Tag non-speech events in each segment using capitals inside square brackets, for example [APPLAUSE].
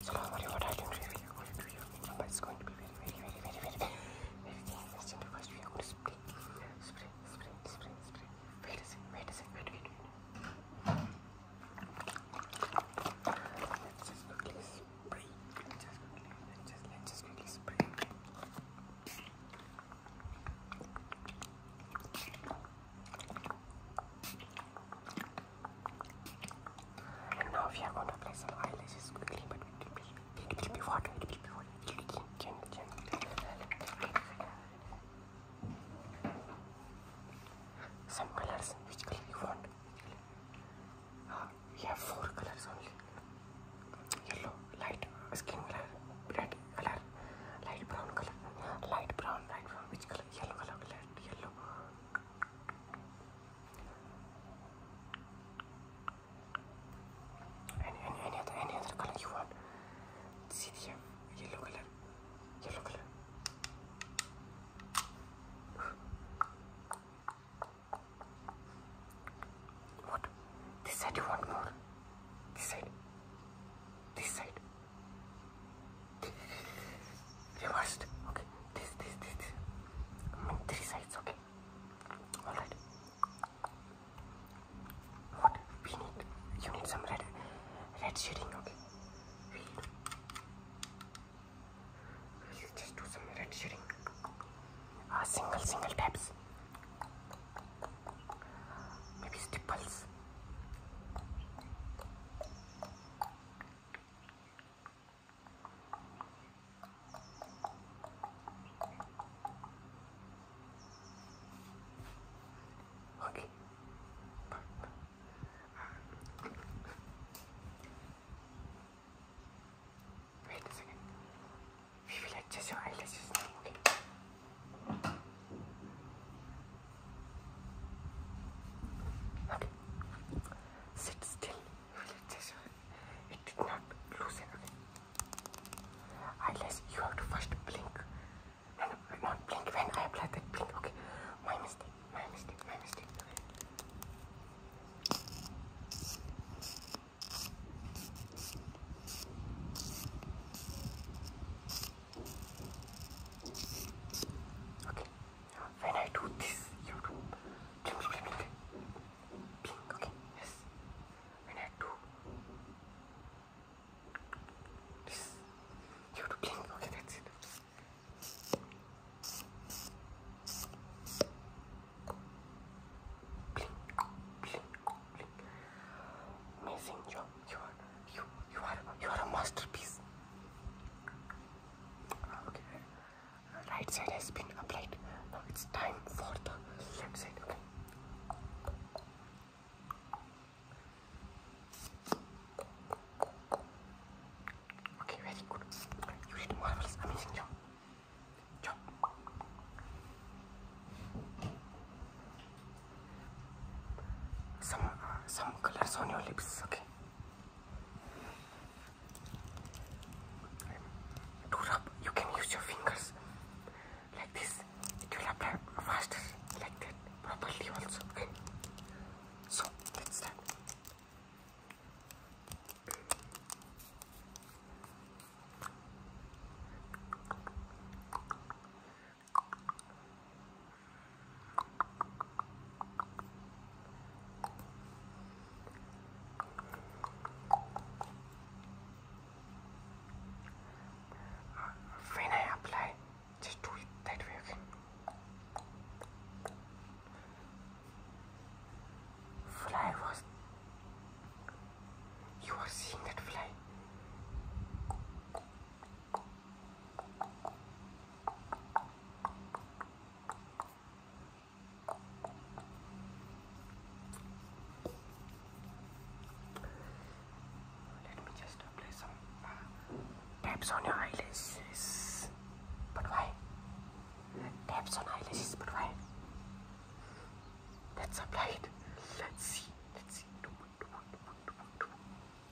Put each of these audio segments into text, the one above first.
So what I, what I can review, review, but it's going to be very, very, very, very, very, very, very interesting because we are going to spray, spray, spray, spray, spray. Wait a second, wait a second, wait, wait, wait. Let's just quickly spray. Let's just quickly, let's just, let's just quickly spray. Let's just quickly spray. And now we are going to apply some eyelashes quickly, but it will be, it will be water, it will be water, it will be gentle, gentle. Some colors, which color you want? we ah, have four colors only. Yellow, light skin color, red color, light brown color, light brown, light brown, which color? Yellow color, light yellow, and any, any other any other color you want. See the yellow color. Yellow color. What? This side you want more? This side? This side? reversed. Okay, this, this, this, this. I mean, three sides. Okay, all right. What we need? You need some red, red shading. Okay, we will just do some red shading. Ah, single, single taps. Maybe stipples. Okay. Wait a second. We will adjust your eyelashes now, okay? Okay. Sit still. It did not loosen. Okay. Unless you have to first blink. And not blink when I apply that blink. Okay. My mistake. My mistake. My mistake. Okay, uh, when I do this, you do ping, ping, ping, ping, okay, yes, when I do this, you do ping, okay, that's it. Blink, blink, blink. Amazing job, you are you, you are, you are a masterpiece. Okay. Right side has been applied. Now it's time for the left side. Okay. Okay, very good. You did marvelous, amazing job. Job. Some uh, some colors on your lips. Okay. To rub, you can use your fingers like this. It will apply faster, like that, properly also. Okay. So let's start. When I apply, just do it that way Fly was. You are seeing that fly. Let me just apply some uh, taps on your eyelashes. But why? Taps on eyelashes, but why? Let's apply it. Let's see. Let's see.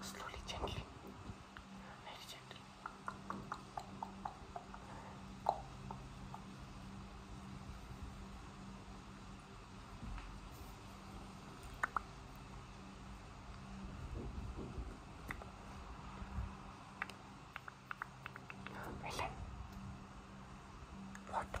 slowly, gently, very gently. Well, what?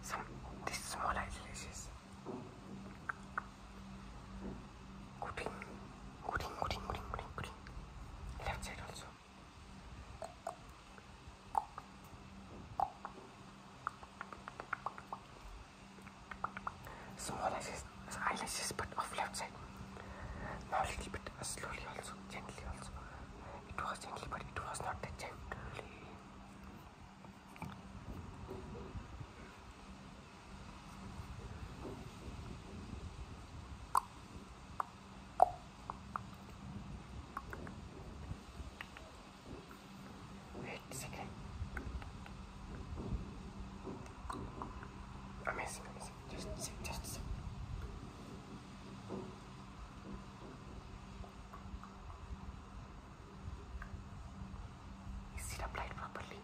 Some, this small eyelashes. Gooding, gooding, gooding, gooding, gooding, gooding. Left side also. Small eyelashes, eyelashes but off left side. Now a little bit slowly also, gently also. It was gently but it was not that gently. Wait a second. Amazing, amazing. Just sit, just sit. Is it applied properly?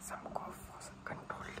Some cough was controlled.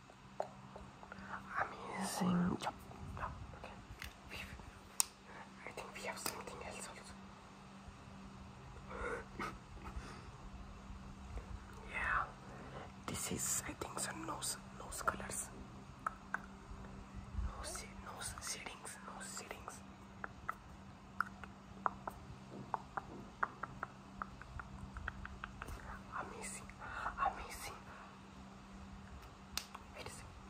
Amazing job. Okay. I think we have something else [GASPS] yeah. This is I think some nose nose colors. No nose settings, no settings. Amazing, amazing. Wait a second.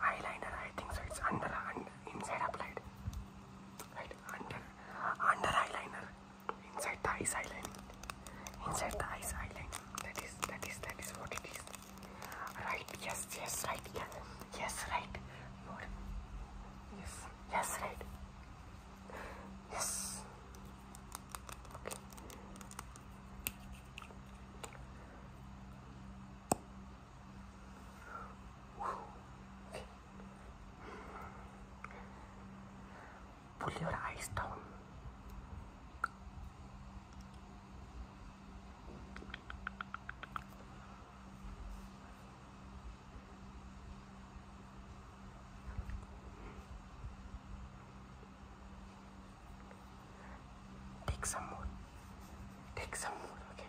Eyeliner, I think so. It's under, under inside applied. Right, under, under eyeliner. Inside the eyes eyeliner. Inside the eyes eyeliner. That is, that is, that is what it is. Right, yes, yes, right, yes, yes, right. Yes, yes, right. Yes. okay. Pull your eyes down. Take some more. Take some more, okay?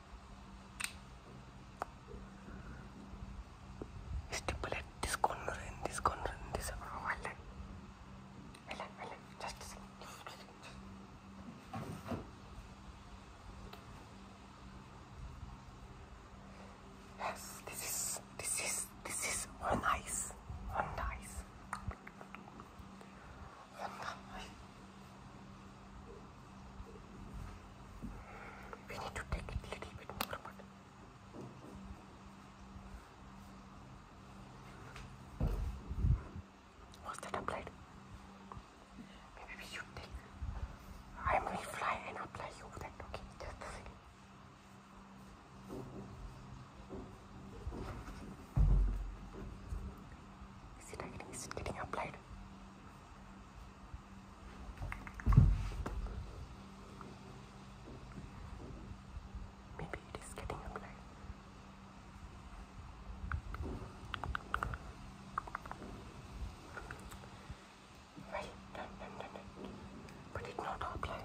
Stipple at this corner this corner this. Oh, I like. Just a Yes, this is, this is, this is on ice. We need to take it a little bit more, but that applied? Maybe we should take. I'm gonna fly and apply you that, okay? Just a second. Is it, getting, is it getting applied? Maybe it is getting up there. Right, done, done, done, But it's not up yet.